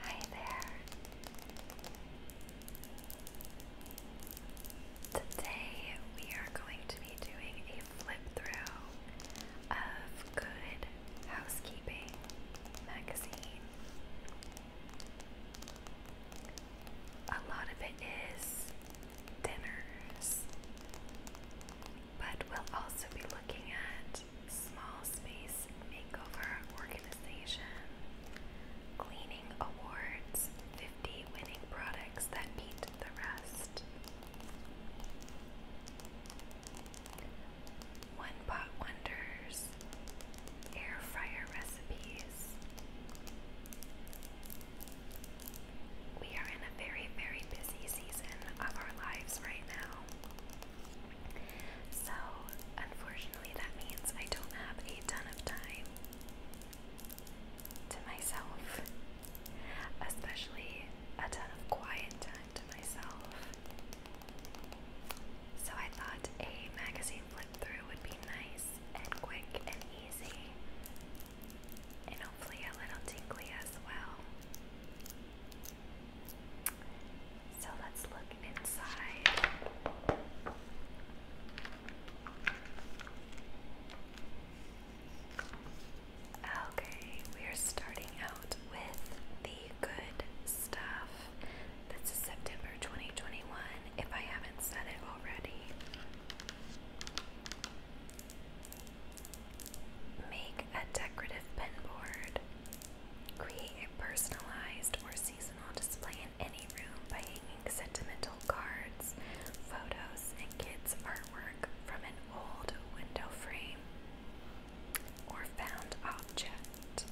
Hi there. Today we are going to be doing a flip through of Good Housekeeping magazine. A lot of it is dinners but we'll also be looking at small space makeover organization, cleaning awards, 50 winning products that meet the rest. One pot wonders, air fryer recipes, we are in a very, very busy season of our lives right now. So, unfortunately, that means I don't have a ton of time to myself, especially a ton of quiet time to myself. So, I thought a magazine flip through would be nice and quick and easy, and hopefully a little tingly as well. So let's look inside. Okay, we are starting out with the good stuff. This is September 2021, if I haven't said it already. Make a decorative pin board. Create a personalized or seasonal display in any room by hanging sentimental cards, photos, and kids' artwork from an old window frame or found object.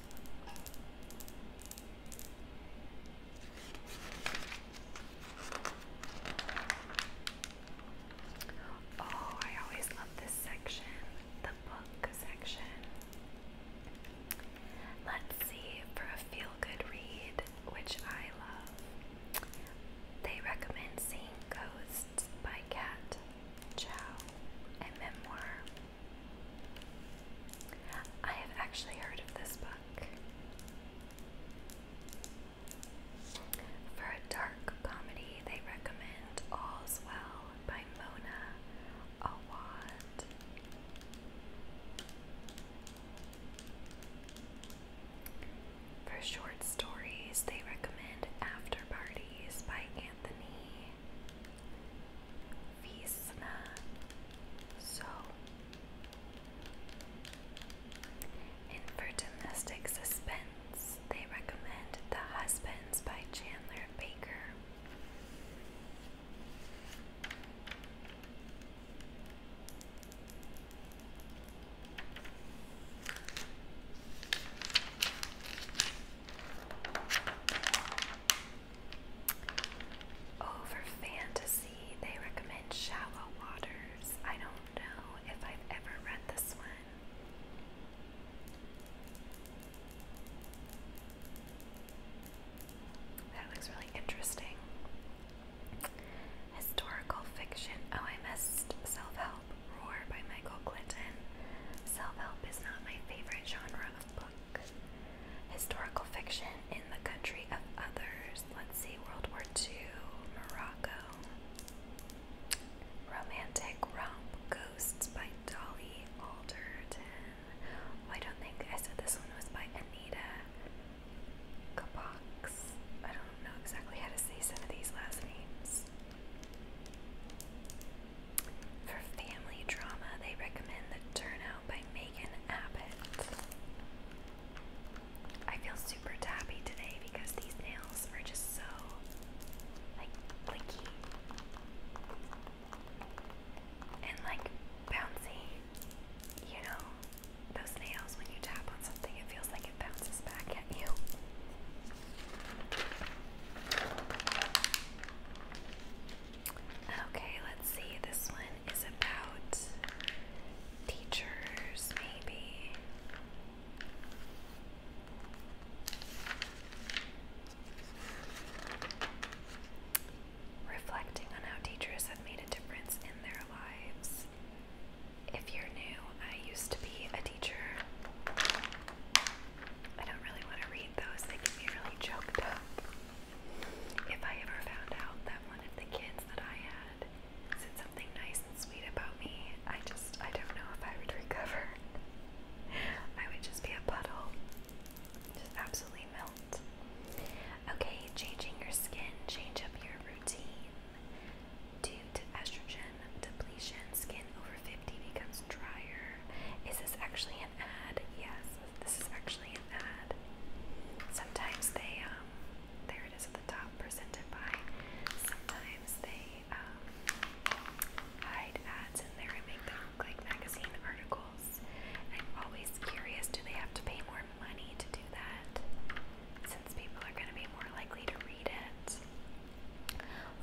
Oh, I always love this section, the book section. Let's see, for a feel good read, which I love, they recommend Seeing Ghosts by Kat Chow, a memoir. I have actually heard of this book. For a dark comedy, they recommend All's Well by Mona Awad. For short stories, they recommend After Parties by Anthony Visna. So, and for domestic suspense, they recommend The Husbands by Chandler Baker. Oh, fantasy, they recommend Shallow Waters. I don't don't know if I've ever read this one. That looks really interesting. Historical fiction. Oh, I missed Self Help Roar by Michael Clinton. Self help is not my favorite genre of book. Historical fiction in the country of others. Let's see, World War II, Morocco. Romantic Romp Ghosts by Dolly Alderton. Oh, I don't think I said this one was by Anita Kapox. I don't know exactly how to say some of these last names. For family drama, they recommend The Turnout by Megan Abbott. I feel super tappy today because these nails are just so like clicky and like bouncy. You know, those nails when you tap on something, it feels like it bounces back at you. Okay, let's see. This one is about teachers, maybe. Reflecting on how teachers have made a difference in their lives. If you're new, I used to be a teacher. I don't really want to read those, they can be really choked up. If I ever found out that one of the kids that I had said something nice and sweet about me, I just, I don't know if I would recover. I would just be a puddle. Just absolutely melt. Okay, changing your skin, change up your routine. Due to estrogen depletion, skin over 50 becomes drier. Is this actually an ad? Yes, this is actually an ad. Sometimes they um there it is at the top, presented by. Sometimes they um, hide ads in there and make them look like magazine articles. I'm always curious do they have to pay more money to do that? Since people are going to be more likely to read it.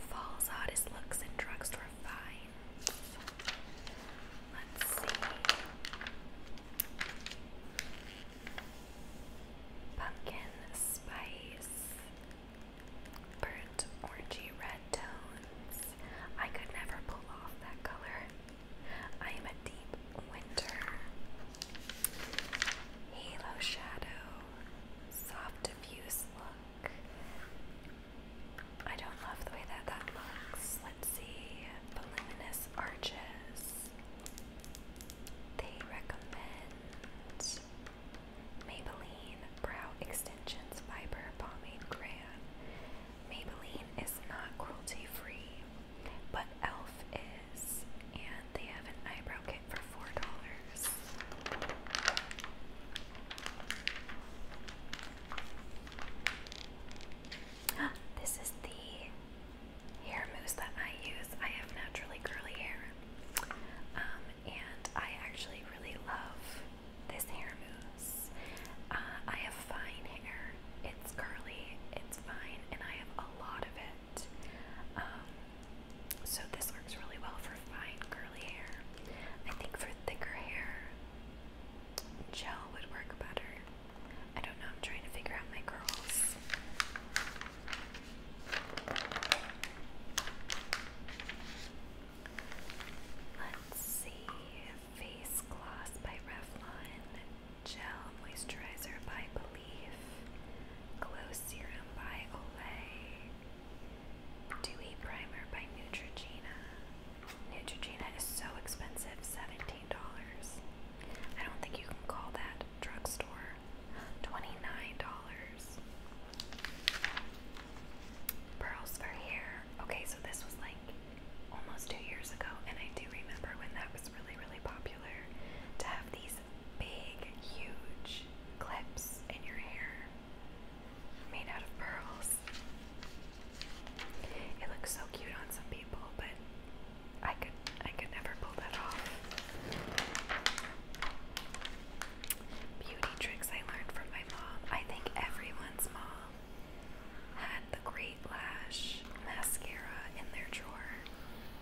Falls oddest looks in drugstore finds. Let's see pumpkin spice, burnt orangey red tones. I could never pull off that color. I am a deep winter. Halo shadow, soft diffuse look. I don't love the way that that looks. Let's see, voluminous arches. They recommend Maybelline Brow Extensions Fiber Pomade Crayon. Maybelline is not cruelty free, but e.l.f. is, and they have an eyebrow kit for $4. This is the hair mousse that I use. I have naturally curly hair, um, and I actually really love this hair mousse. Uh, I have fine hair, it's curly, it's fine, and I have a lot of it. Um, so, this works really well for fine curly hair. I think for thicker hair, gel would work better. I don't know, I'm trying to figure out my curls. Let's see. Face Gloss by Revlon. Gel Moisturizer by Belief. Glow Serum by Olay. Dewy Primer by Neutrogena. Neutrogena is so expensive, $17. I don't think you can call that drugstore, $29. Pearls for hair. Okay, so this was like almost two years ago, and I do remember when that was really, really popular to have these big, huge clips in your hair made out of pearls. It looks so cute on some people, but I could I could never pull that off. Beauty tricks I learned from my mom. I think everyone's mom had the great lash mascara in their drawer.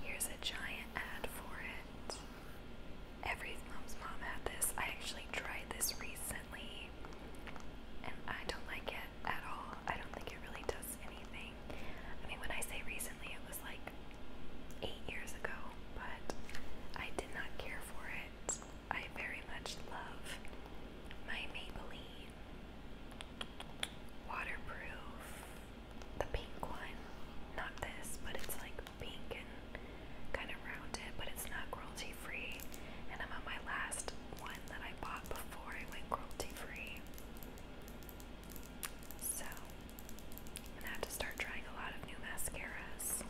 Here's a giant ad for it. Every mom's mom had this. I actually tried this recently and I don't like it at all. I don't think it really does anything. I mean, when I say recently, it was like eight years ago, but I did not care for it. I very much love my Maybelline waterproof, the pink one. Not this, but it's like pink and kind of rounded, but it's not cruelty free. And I'm on my last one that I bought before I went cruelty free. So, I'm gonna have to start trying a lot of new mascaras.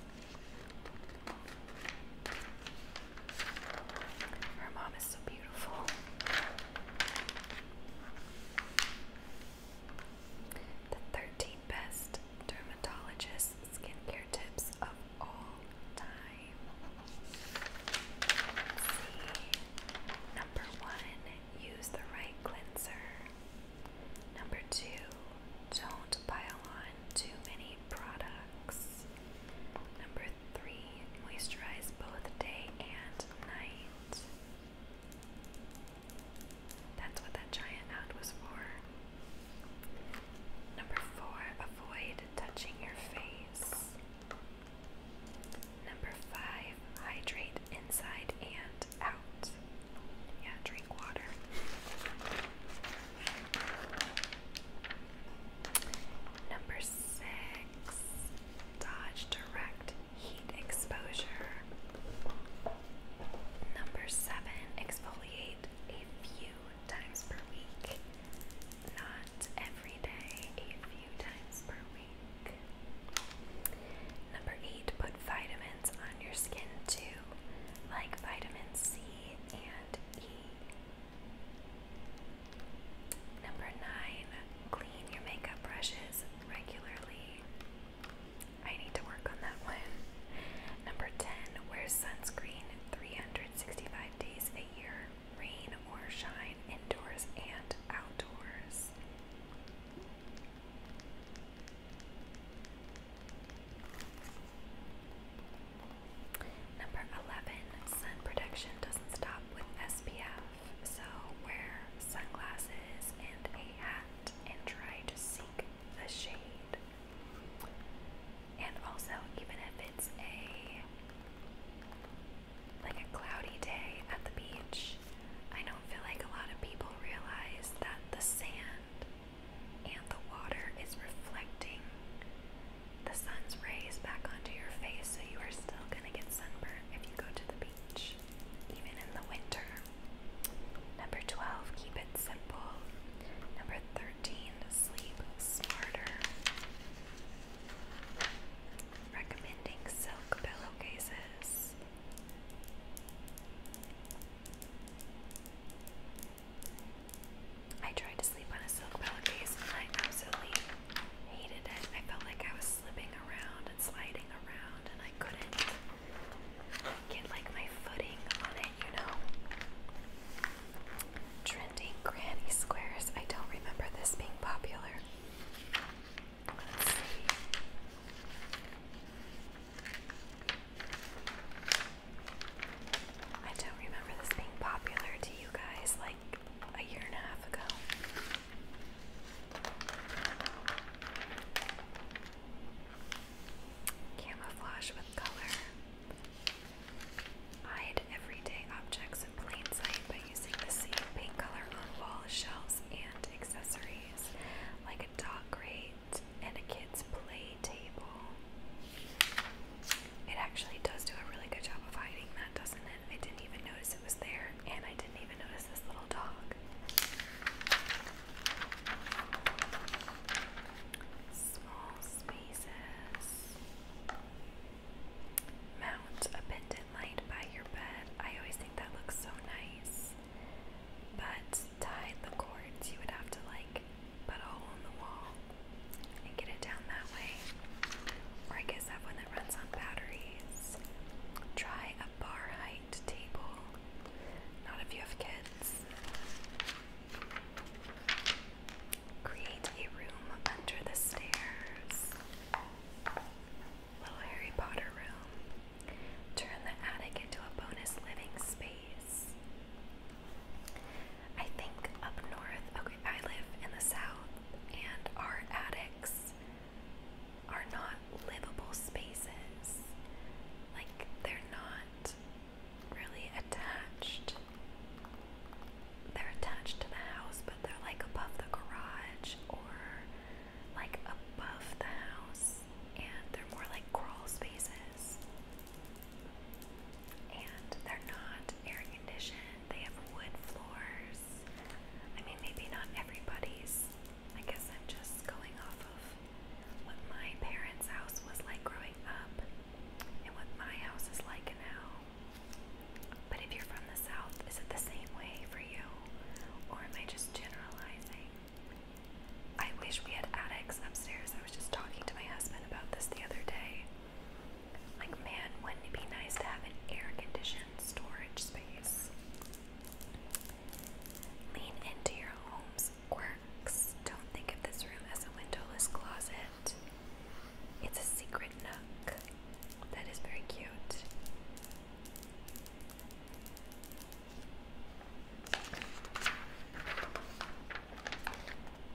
Her mom is so beautiful. The 13 best dermatologist skincare tips of all time. see. Number one, use the right cleanser. Number two, don't pile on too many products. Number three, moisturize both day and night. That's what that giant ad was for. Number four, avoid touching your face. Number five, hydrate inside and out. Yeah, drink water. Number six, dodge direct heat exposure. Number seven, exfoliate a few times per week not every day, a few times per week. Number eight, put vitamins on your skin too, like vitamin C and E. Number nine, clean your makeup brushes regularly. I need to work on that one. Number 10, wear sunscreen 365 days a year, rain or shine indoors and outdoors. Number 11, sun protection doesn't stop with SPF, so wear sunglasses and a hat and try to seek the shade. And also, even if it's a like a cloudy day at the beach, I don't feel like a lot of people realize that the sand and the water is reflecting the sun's rays back onto your face, so you are still going to get sunburn if you go to the beach, even in the winter. Number 12, keep it simple. Number 13, sleep smarter recommending silk pillowcases. I tried to sleep on a silk pillowcase and I absolutely hated it. I felt like I was slipping around and sliding around and I couldn't get like my footing on it, you know. Trending granny squares. I don't remember this being popular. I don't remember this being popular to you guys like a year and a half ago. Camouflage with color. Hide everyday objects in plain sight by using the same paint color on wall, shelves, and accessories, like a dog crate and a kid's play table. It actually does do a really good job of hiding that, doesn't it? I didn't even notice it was there, and I didn't even notice this little dog. Small spaces. Mount a pendant light by your bed. I always think that looks so nice. But tied the cords, you would have to like put a hole in the wall and get it down that way. Or I guess have one that runs on batteries. Try a bar height table. Not if you have kids. Create a room under the stairs. Little Harry Potter room. Turn the attic into a bonus living space. I think up north, okay, I live in the south, and our attics are not livable spaces. Like, they're not really attached they're attached to the house, but they're like above the garage or like above the house, and they're more like crawl spaces. And they're not air conditioned, they have wood floors. I mean, maybe not everybody's. I guess I'm just going off of what my parents' house was like growing up and what my house is like now. But if you're from the South, is it the same way for you? Or am I just generalizing? I wish we had attics upstairs. I was just talking to my husband about this the other day. Like, man, wouldn't it be nice to have an air conditioned storage space? Lean into your home's quirks. Don't think of this room as a windowless closet. It's a secret nook. That is very cute.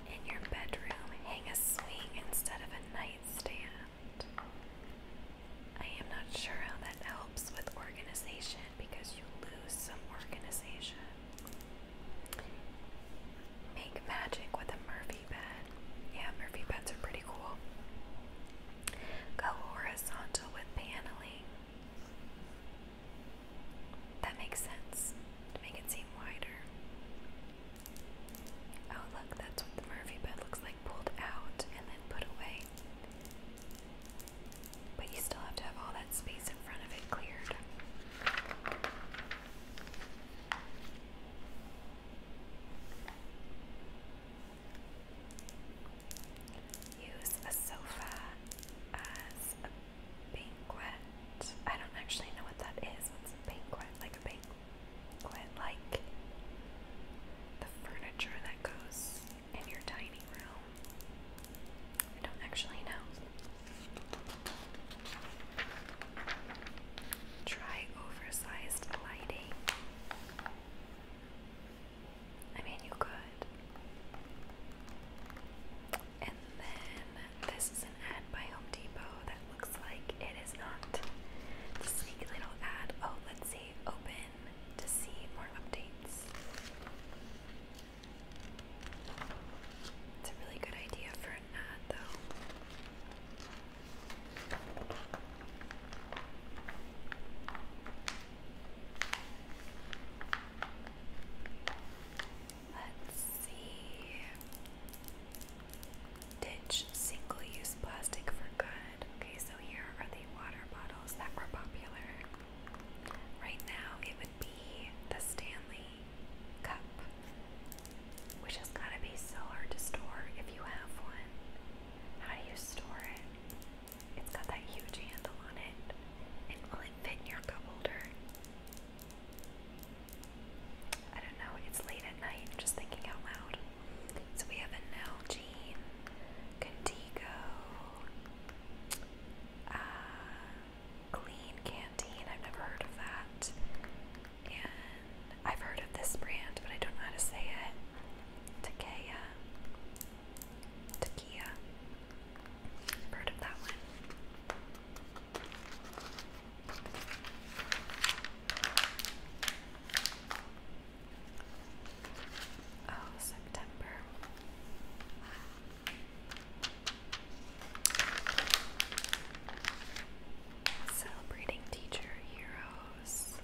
In your bedroom, hang a swing instead of a nightstand. I am not sure how that helps with organization because you lose some organization. Make magic with a Murph yeah, Murphy beds are pretty cool. Go horizontal with paneling. That makes sense to make it seem wider. Oh, look, that's what the Murphy bed looks like pulled out and then put away. But you still have to have all that space in front of it cleared. Use a sofa as a banquet. I don't actually know what that is. What's a banquet? Like a banquet, like the furniture that goes in your dining room. I don't actually know. Try oversized lighting. I mean, you could. And then this is an ad by Home Depot that looks like it is not. The sneaky little ad. Oh, let's see. Open to see more updates. It's a really good idea for an ad, though. Let's see. Ditch single use plastic for good. Okay, so here are the water bottles that were popular. Right now, it would be the Stanley cup, which has got to be so hard to store if you have one. How do you store it? It's got that huge handle on it. And will it fit in your cup holder? I don't know, it's late at night, just thinking out loud. So we have a Nalgene, Contigo, uh, Clean Canteen. I've never heard of that. And I've heard of this brand, but I don't know how to say it. Takea. Takia. heard of that one. Oh, September. Celebrating teacher heroes.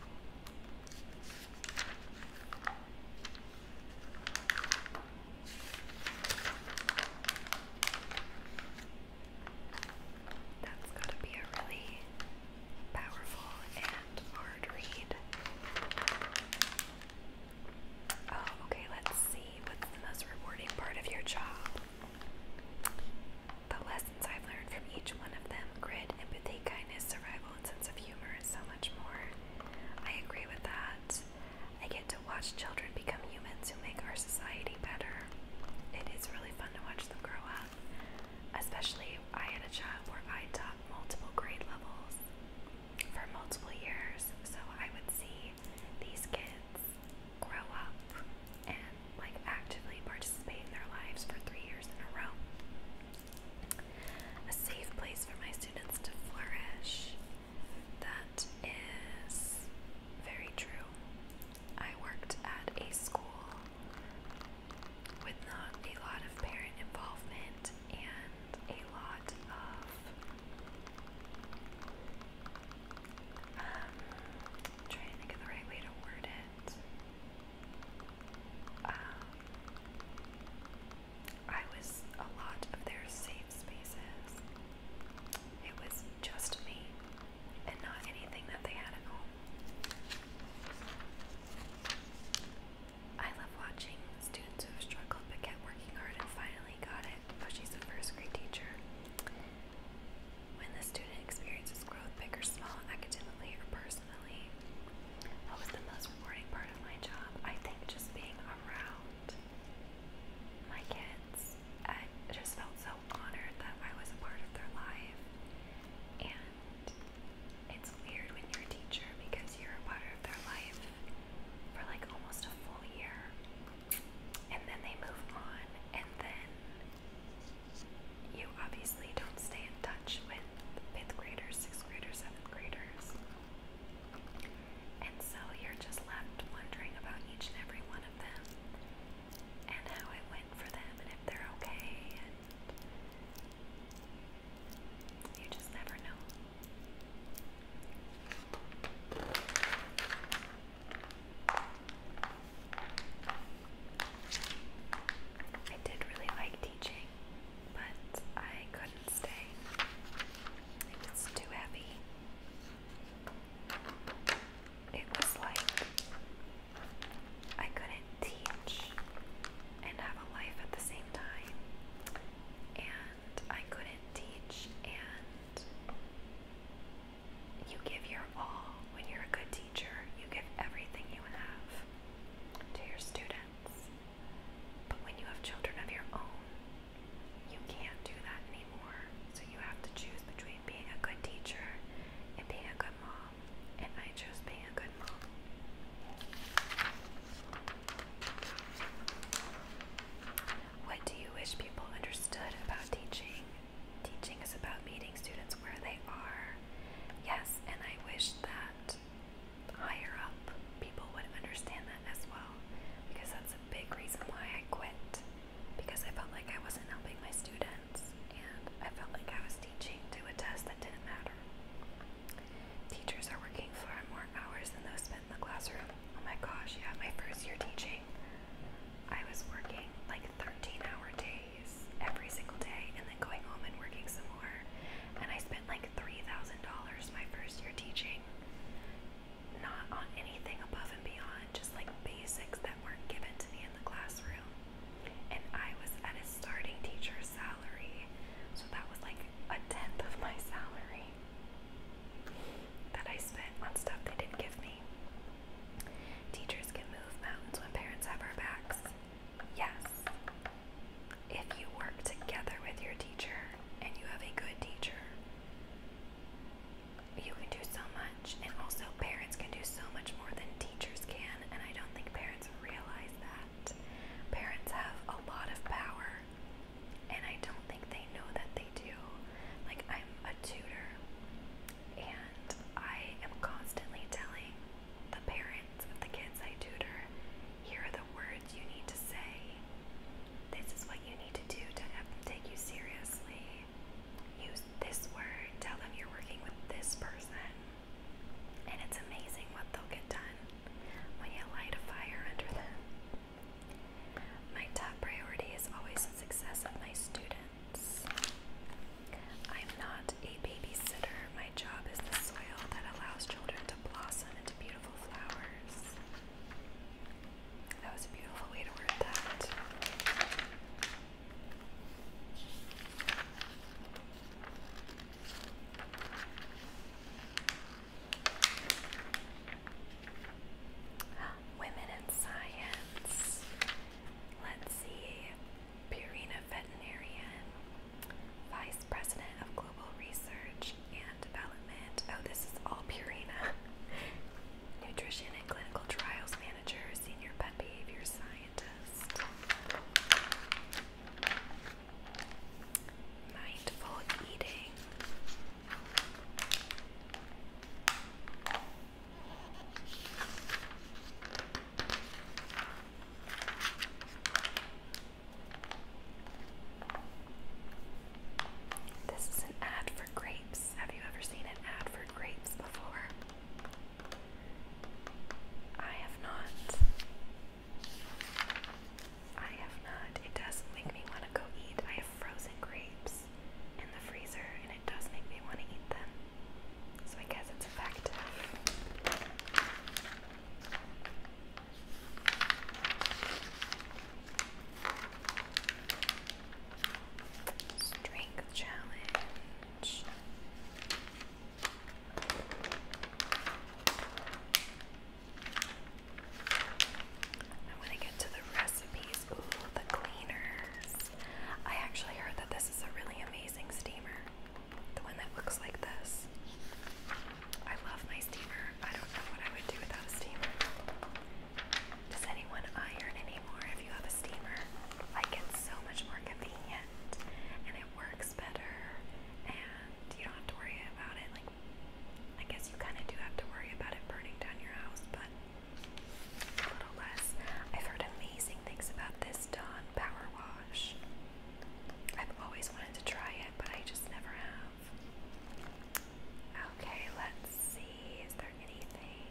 That's to be a really powerful and hard read. Oh, okay, let's see. What's the most rewarding part of your job? The lessons I've learned from each one of them grit, empathy, kindness, survival, and sense of humor, and so much more. I agree with that. I get to watch children become humans who make our society better. It is really fun to watch them grow up, especially I had a job where I taught multiple grade levels for multiple years, so I would see these kids grow up and like actively participate in their lives for three years in a row. A safe place for my students to flourish. That is very true. I worked at a school with not a lot of parent involvement and a lot of um, trying to think the right way to word it. Um, I was a lot of their safe spaces. It was just me and not anything that they had at home. I love watching students who have struggled but kept working hard and finally got it. Oh, she's a first grade teacher. When the student experiences growth, big or small, academically or personally, what was the most rewarding part of my job? I think just being around my kids. I just felt so honored that I was a part of their life. And it's weird when you're a teacher because you're a part of their life for like almost a full year and then they move on, and then you obviously don't stay in touch with fifth graders, sixth graders, seventh graders. And so you're just left wondering about each and every one of them and how it went for them and if they're okay and you just never know. I did really like teaching, but I couldn't stay. It was too heavy. It was like I couldn't teach and have a life at the same time. And I couldn't teach, and you give your all when you're a good teacher. You give everything you have to your students. But when you have children of your own, you can't do that anymore. So you have to choose between being a good teacher and being a good mom. And I chose being a good mom. What do you wish people understood about teaching? Teaching is about meeting students where they are. Yes, and I wish that higher up people would understand that as well, because that's a big reason why I quit. Because I felt like I wasn't helping my students, and I felt like I was teaching to a test that didn't matter. Teachers are working far more more hours than those spent in the classroom. Oh my gosh, yeah, my first year teaching, I was working like 13 hour days every single day and then going home and working some more. And I spent like $3,000 my first year teaching, not on anything above and beyond, just like basics that weren't given to me in the classroom. And I was at a starting teacher's salary, so that was like a tenth of my salary that I spent on stuff they didn't give me. Teachers can move mountains when parents have our backs. Yes. If you work together with your teacher and you have a good teacher, you can do so much. And also, parents can do so much more than teachers can. And I don't think parents realize that. Parents have a lot of power and I don't think they know that they do. Like, I'm a tutor, and I am constantly telling the parents of the kids I tutor here are the words you need to say, this is what you need to do to have them take you seriously. Use this word, tell them you're working with this person. And it's amazing what they'll get done when you light a fire under them. My top priority is always the success of my students. I'm not a babysitter. My job is the soil that allows children to blossom into beautiful flowers. That was a beautiful way to word that. Women in Science. Let's see. Purina Veterinarian, Vice President of Global Research and Development. Oh, this is all Purina. Nutrition and Clinical Trials Manager, Senior Pet Behavior Scientist. This is an ad for grapes. Have you ever seen an ad for grapes before? I have not. I have not. It does not make me want to go eat. I have frozen grapes in the freezer, and it does make me want to eat them. So I guess it's effective. Strength challenge. I want to get to the recipes. Ooh, the cleaners. I actually heard that this is a really amazing steamer. The one that looks like this. I love my steamer. I don't know what I would do without a steamer. Does anyone iron anymore if you have a steamer? Like, it's so much more convenient and it works better, and you don't have to worry about it I guess you kind of do have to worry about it burning down your house, but a little less. I've heard amazing things about this Dawn Power Wash. I've always wanted to try it, but I just never have. Okay, let's see. Is there anything?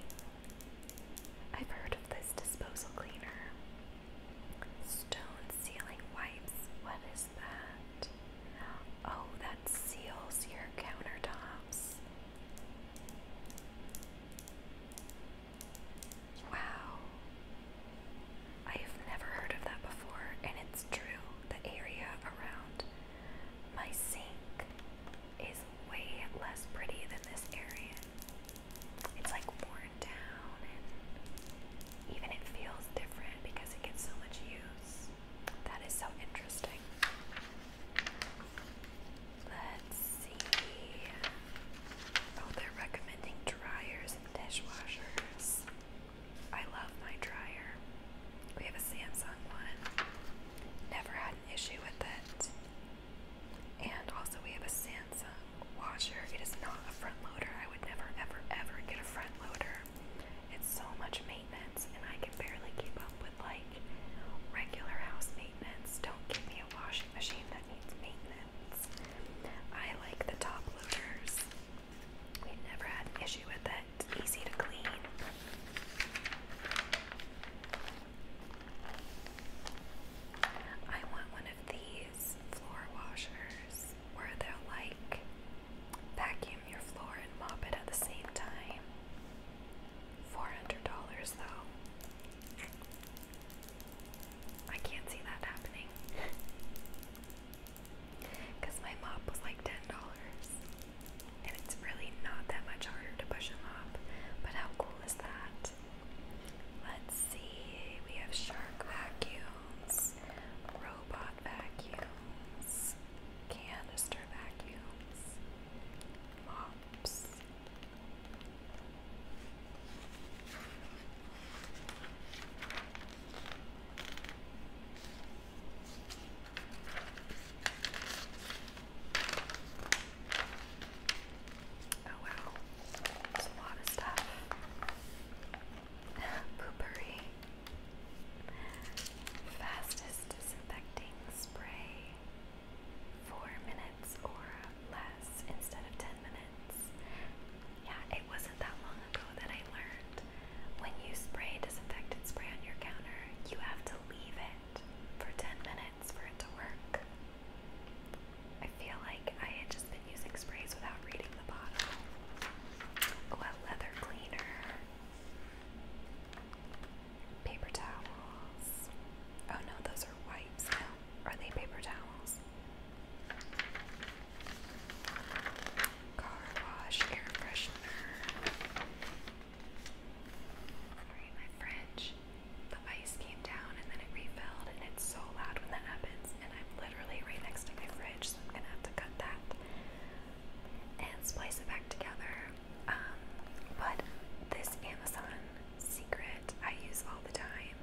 I've heard of this disposal cleaner. Stone sealing wipes. What is Oh, that seals your countertops. Wow. I have never heard of that before, and it's true. The area around my sink is way less pretty than this area. It's like worn down, and even it feels different because it gets so much use. That is so interesting. Let's see. Oh, they're recommending dryers and dishwashers. I love my dryer. We have a Samsung one. Never had an issue with it. And also, we have a Samsung washer. It is not a front loader. I would never, ever, ever get a front loader. It's so much maintenance, and I can barely keep up with like regular house maintenance. Don't give me a washing machine that needs maintenance. I like the top loaders. we never had an issue with it. easy to clean. I want one of these floor washers where they're like Vacuum your floor and mop it at the same time. $400 though. I can't see that happening. Because my mop was like $10. And it's really not that much harder to push a mop. But how cool is that? Let's see. We have shark vacuums, robot vacuums canister vacuums, mops. Oh wow, it's a lot of stuff. Poopery. Fastest disinfecting spray. Four minutes or less instead of ten minutes. Yeah, it wasn't that long ago that I learned when you spray disinfectant spray on your counter, you have to leave it for ten minutes for it to work. I feel like I had just been using sprays without reading Oh, leather cleaner. Paper towels. Oh no, those are wipes now. Are they paper towels? Car wash, air freshener. Alright, my fridge. The ice came down and then it refilled, and it's so loud when that happens and I'm literally right next to my fridge, so I'm gonna have to cut that and splice it back together. Um, but this Amazon secret I use all the time.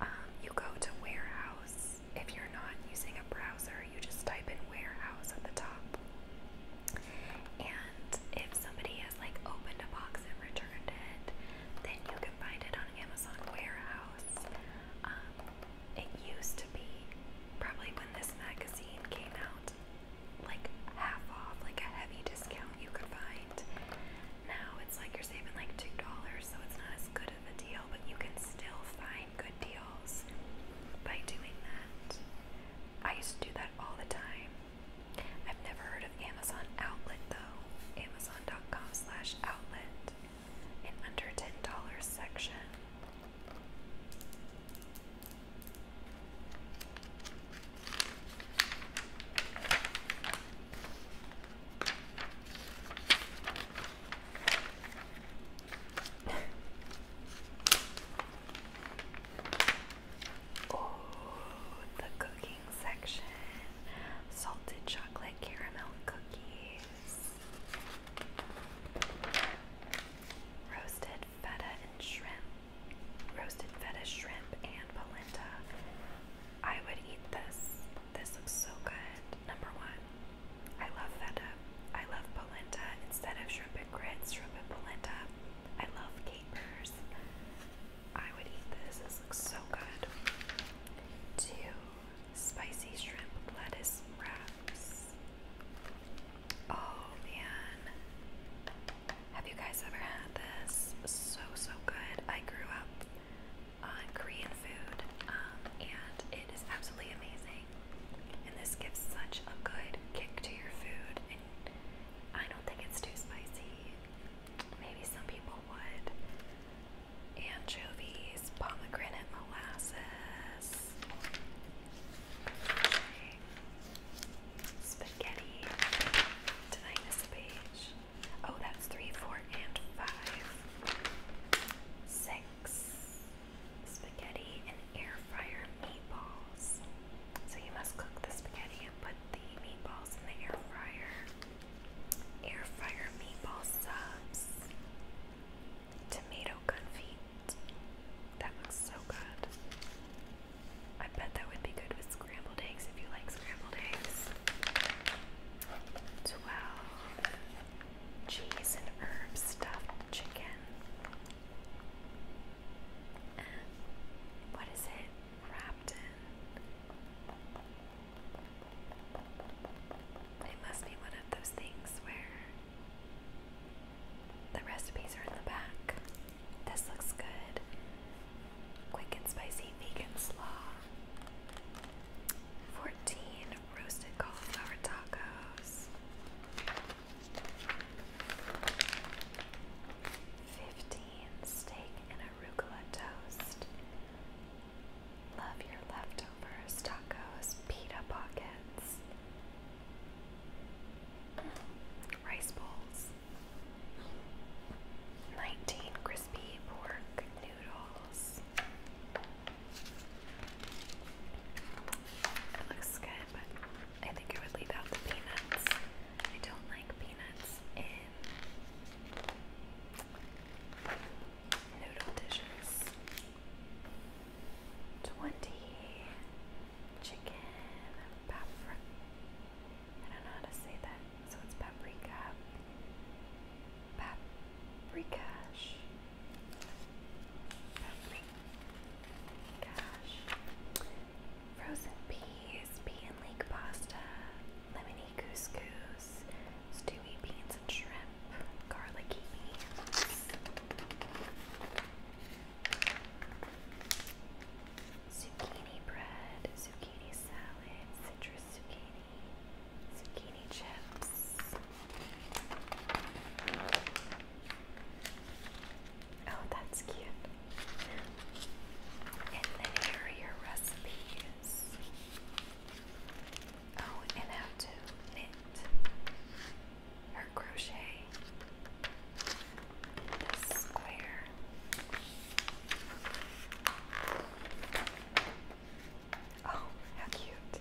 Um, you go to warehouse. If you're not using a browser, you just type in warehouse at the top. And if somebody has like opened a box and returned it, then you can find it on Amazon Warehouse. Um, it used probably when this magazine came out like half off, like a heavy discount you could find. Now it's like you're saving like $2, so it's not as good of a deal, but you can still find good deals by doing that. I used to do that all the time. I've never heard of Amazon Outlet though. Amazon.com slash outlet an under $10 section. oh, the cooking section. Salted chocolate caramel cookies. Roasted feta and shrimp. Roasted feta, shrimp, and polenta. I would eat this. This looks so good. Number one, I love feta. I love polenta. Instead of shrimp and grits, shrimp and polenta. I love capers. I would eat this. This looks so good. Two, Spicy shrimp lettuce wraps. Oh man. Have you guys ever had this? So, so good. I grew up on Korean food um, and it is absolutely amazing. And this gives such a good kick to your food. I don't think it's too spicy. Maybe some people would anchovies, pomegranate molasses, spaghetti. Did I miss page? Oh, that's three, four, and five. Six. Spaghetti and air fryer meatballs. So you must cook the spaghetti and put the meatballs in the air fryer. Air fryer meatball subs tomato confit. That looks so good. I bet that would be good with scrambled eggs if you like scrambled eggs. 12. Cheese and herb stuffed chicken. And what is it wrapped in? It must be one of those things where the recipes are in the back. This looks good. Quick and spicy vegan slaw. 14 roasted cauliflower tacos. 15 steak and arugula toast. Love your leftovers, tacos, pita pockets, rice bowls, 19 crispy pork noodles. It looks good, but I think I would leave out the peanuts. I don't like peanuts in noodle dishes, 20 chicken paprika. I don't know how to say that, so it's paprika. Paprikash. Paprikash. Frozen peas, pea and pasta, lemony couscous stewy beans and shrimp, garlicky beans. Zucchini bread, zucchini salad, citrus zucchini, zucchini chips. Oh, that's cute. And then are your recipes. Oh, and how to knit or crochet square. Oh, how cute!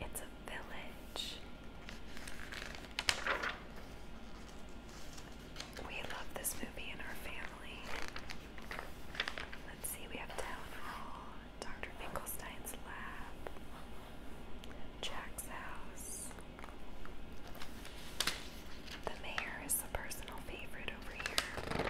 It's a village. We love this movie in our family. Let's see, we have Town Hall, Dr. Finkelstein's lab, Jack's house. The mayor is a personal favorite over here.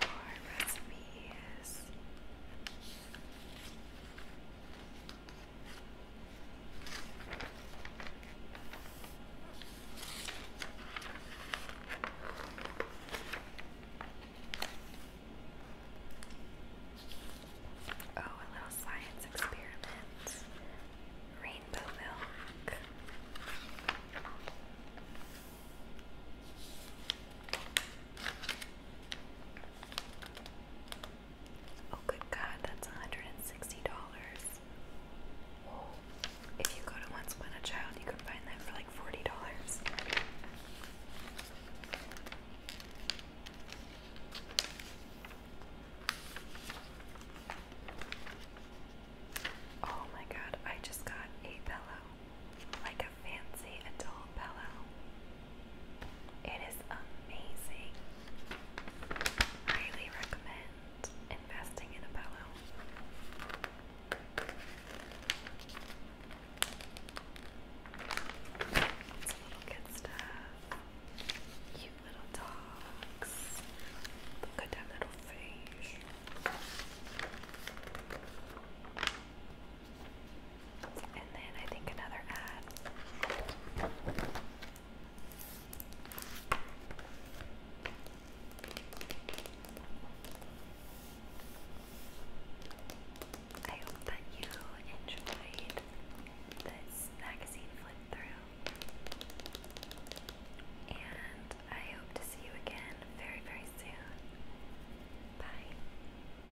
More recipes. Oh, a little science experiment. Rainbow milk. Oh, good God, that's $160. If you go to Once Upon a Child, you can find that for like $40. Oh my god, I just got a pillow. Like a fancy adult pillow. It is amazing. Highly recommend investing in a pillow. It's little stuff. Cute little dogs. Look at that little fish. And then I think another ad. I hope that you enjoyed this magazine flip through, and I hope to see you again very, very soon. Bye.